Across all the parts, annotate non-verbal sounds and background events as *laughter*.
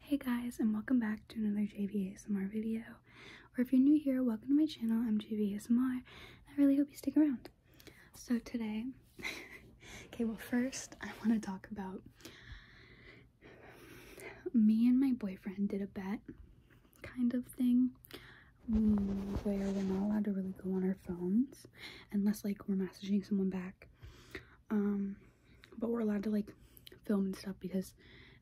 Hey guys and welcome back to another JV ASMR video. Or if you're new here, welcome to my channel. I'm JV ASMR. I really hope you stick around. So today, *laughs* okay, well first I want to talk about me and my boyfriend did a bet kind of thing where we're not allowed to really go on our phones unless like we're messaging someone back. Um, but we're allowed to like film and stuff because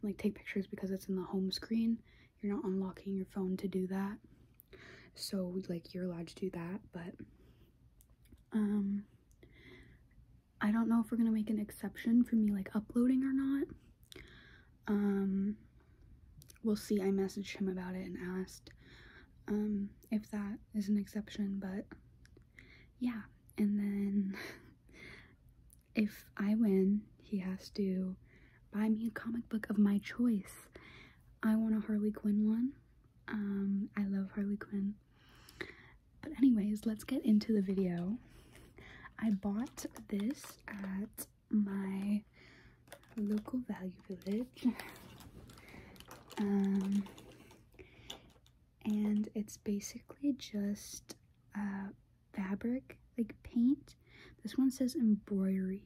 like take pictures because it's in the home screen you're not unlocking your phone to do that so like you're allowed to do that but um i don't know if we're gonna make an exception for me like uploading or not um we'll see i messaged him about it and asked um if that is an exception but yeah and then *laughs* if I win, he has to buy me a comic book of my choice. I want a Harley Quinn one. Um, I love Harley Quinn. But anyways, let's get into the video. I bought this at my local value village. Um, and it's basically just uh, fabric, like paint. This one says embroidery,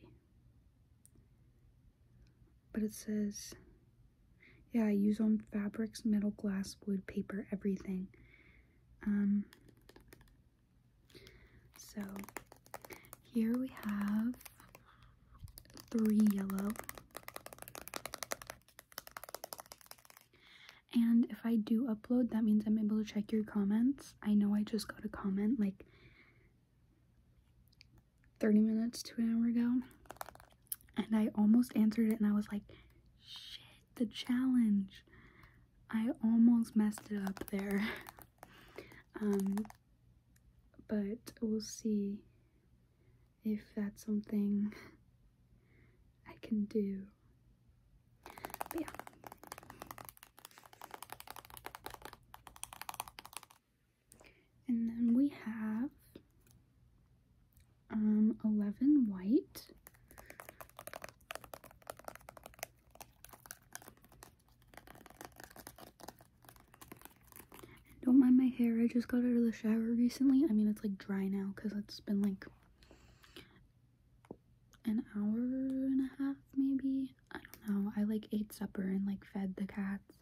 but it says, yeah, I use on fabrics, metal, glass, wood, paper, everything. Um, so here we have three yellow. And if I do upload, that means I'm able to check your comments. I know I just got a comment like 30 minutes to an hour ago. And I almost answered it and I was like, shit, the challenge. I almost messed it up there. *laughs* um, but we'll see if that's something I can do. yeah. And then we have um 11 white don't mind my hair. I just got out of the shower recently. I mean, it's like dry now because it's been like an hour and a half, maybe. I don't know. I like ate supper and like fed the cats.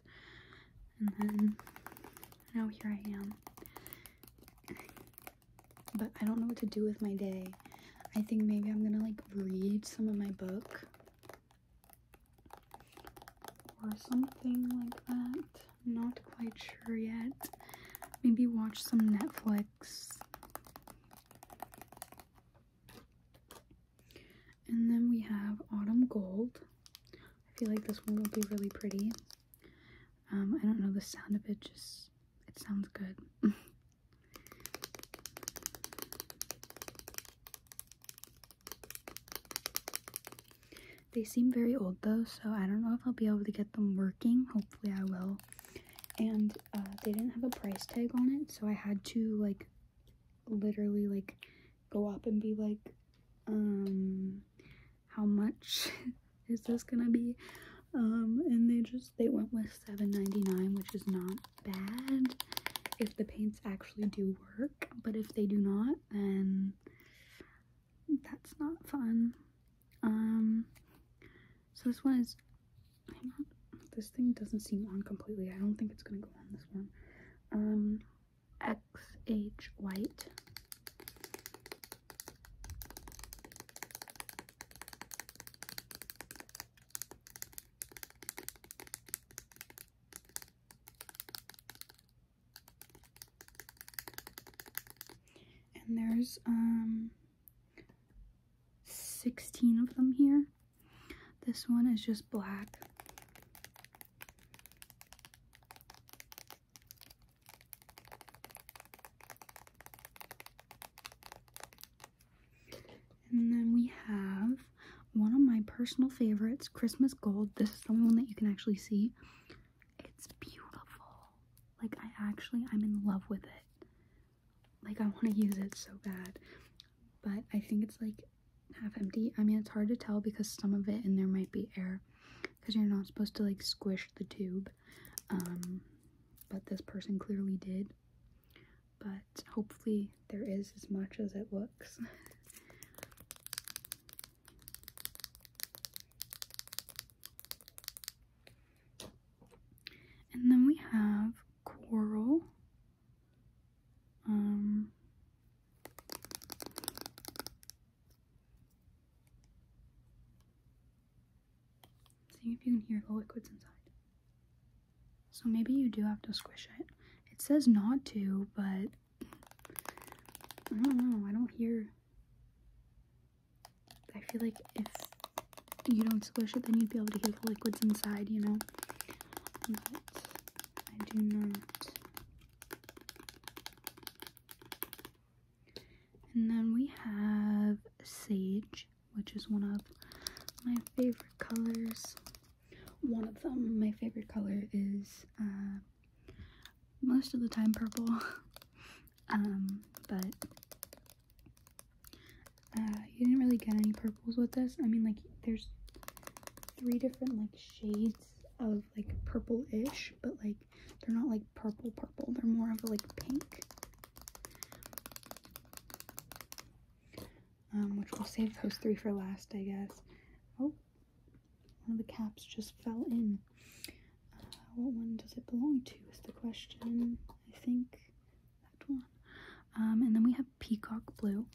And then now here I am. But I don't know what to do with my day. I think maybe I'm gonna like read some of my book or something like that. Not quite sure yet. Maybe watch some Netflix. And then we have Autumn Gold. I feel like this one will be really pretty. Um, I don't know the sound of it, just it sounds good. *laughs* They seem very old though, so I don't know if I'll be able to get them working. Hopefully I will. And uh, they didn't have a price tag on it, so I had to like literally like go up and be like, um, how much *laughs* is this gonna be? Um, and they just, they went with 7.99, which is not bad if the paints actually do work, but if they do not, then that's not fun. Um, so this one is, this thing doesn't seem on completely. I don't think it's gonna go on this one. Um, XH White. And there's um 16 of them here. This one is just black. And then we have one of my personal favorites, Christmas Gold. This is the one that you can actually see. It's beautiful. Like I actually, I'm in love with it. Like I want to use it so bad. But I think it's like half empty. I mean, it's hard to tell because some of it in there might be air because you're not supposed to like squish the tube. Um, but this person clearly did but hopefully there is as much as it looks. *laughs* and then we have coral. Um, See if you can hear the liquids inside. So maybe you do have to squish it. It says not to, but I don't know. I don't hear. I feel like if you don't squish it, then you'd be able to hear the liquids inside, you know? But I do not. And then we have sage which is one of my favorite colors. One of them, my favorite color is uh, most of the time purple, *laughs* um, but uh, you didn't really get any purples with this. I mean, like, there's three different, like, shades of, like, purple-ish, but, like, they're not, like, purple-purple. They're more of, like, pink um, which we'll save those three for last, I guess. Oh, one of the caps just fell in. Uh, what one does it belong to is the question. I think that one. Um, and then we have Peacock Blue.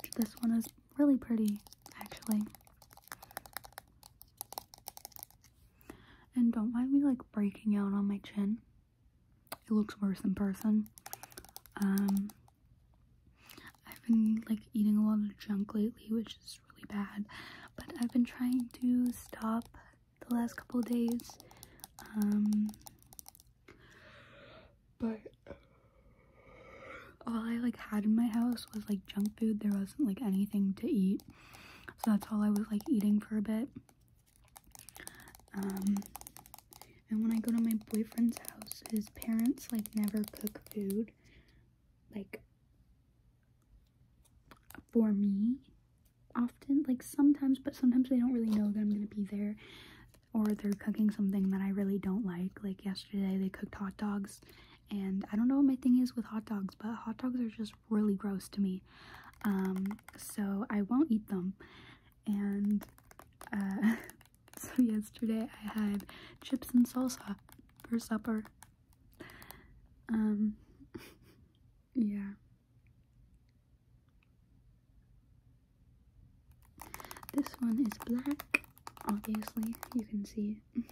Which this one is really pretty actually. And don't mind me like breaking out on my chin. It looks worse in person. Um, I've been like eating a lot of junk lately, which is really bad. But I've been trying to stop the last couple days. Um, but all I like had in my house was like junk food. There wasn't like anything to eat. So that's all I was like eating for a bit. Um, and when I go to my boyfriend's house, his parents like never cook food like for me often like sometimes but sometimes they don't really know that I'm gonna be there or they're cooking something that I really don't like like yesterday they cooked hot dogs and I don't know what my thing is with hot dogs, but hot dogs are just really gross to me. Um, so I won't eat them. And uh, *laughs* so yesterday I had chips and salsa for supper. Um, *laughs* yeah. This one is black, obviously, you can see it.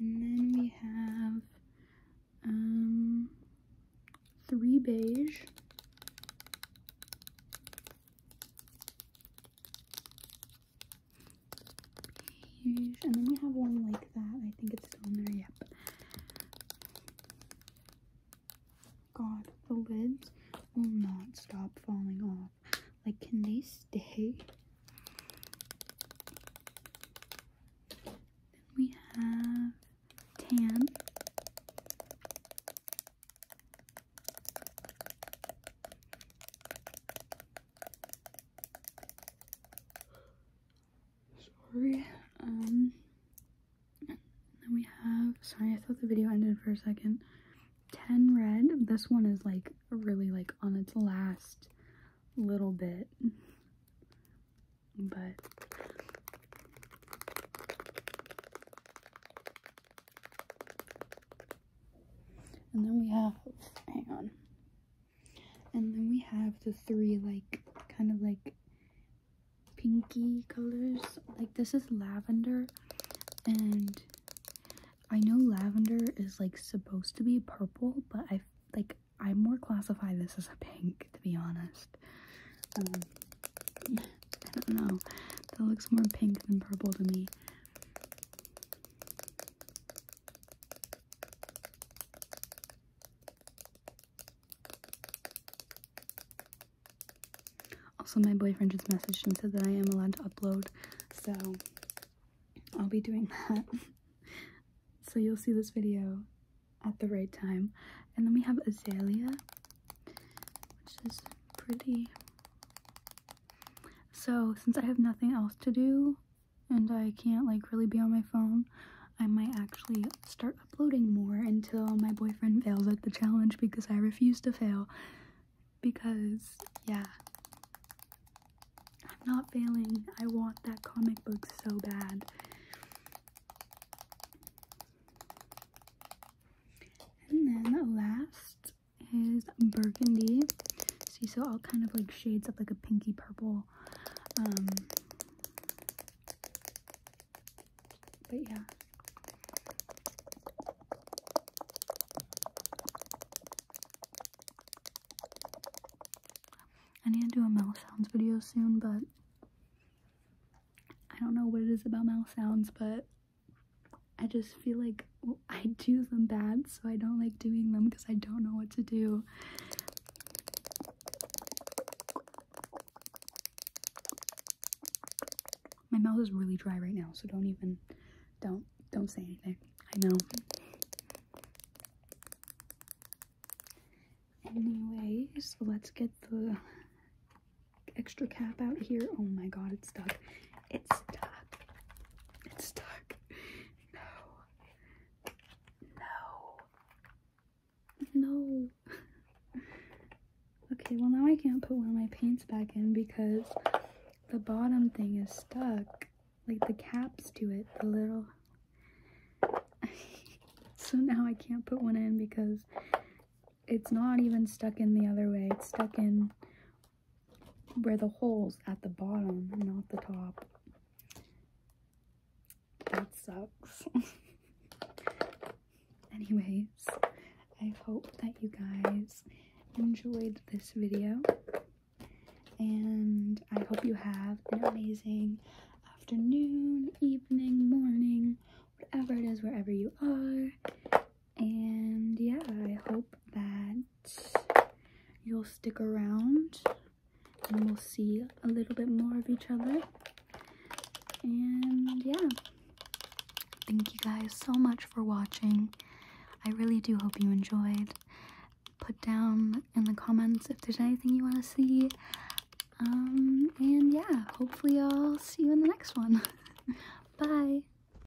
and then we have um, three beige. And then we have one like that. I think it's still in there. Yep. God, the lids will not stop falling off. Like, can they stay? we have tan. Sorry. Um, then we have, sorry, I thought the video ended for a second. 10 red. This one is like really like on its last little bit. But And then we have, hang on, and then we have the three like kind of like pinky colors. Like this is lavender and I know lavender is like supposed to be purple, but I like I more classify this as a pink to be honest. Um, *laughs* I don't know. That looks more pink than purple to me. Also, my boyfriend just messaged and said that I am allowed to upload, so I'll be doing *laughs* that. so you'll see this video at the right time. And then we have Azalea, which is pretty. So since I have nothing else to do, and I can't like really be on my phone, I might actually start uploading more until my boyfriend fails at the challenge because I refuse to fail. Because, yeah, I'm not failing. I want that comic book so bad. And then last is burgundy. See, so all kind of like shades of like a pinky purple um, but yeah. I need to do a mouse sounds video soon, but I don't know what it is about mouse sounds, but I just feel like I do them bad, so I don't like doing them because I don't know what to do. My mouth is really dry right now, so don't even don't don't say anything. I know. Anyway, so let's get the extra cap out here. Oh my god, it's stuck. It's stuck. It's stuck. No. No. No. okay, well now I can't put one of my paints back in because the bottom thing is stuck. Like the caps to it, the little... *laughs* so now I can't put one in because it's not even stuck in the other way. It's stuck in where the hole's at the bottom, not the top. That sucks. *laughs* Anyways, I hope that you guys enjoyed this video. And I hope you have an amazing afternoon, evening, morning, whatever it is, wherever you are. And yeah, I hope that you'll stick around and we'll see a little bit more of each other. And yeah, thank you guys so much for watching. I really do hope you enjoyed. Put down in the comments if there's anything you want to see. Um, and yeah, hopefully I'll see you in the next one. *laughs* Bye!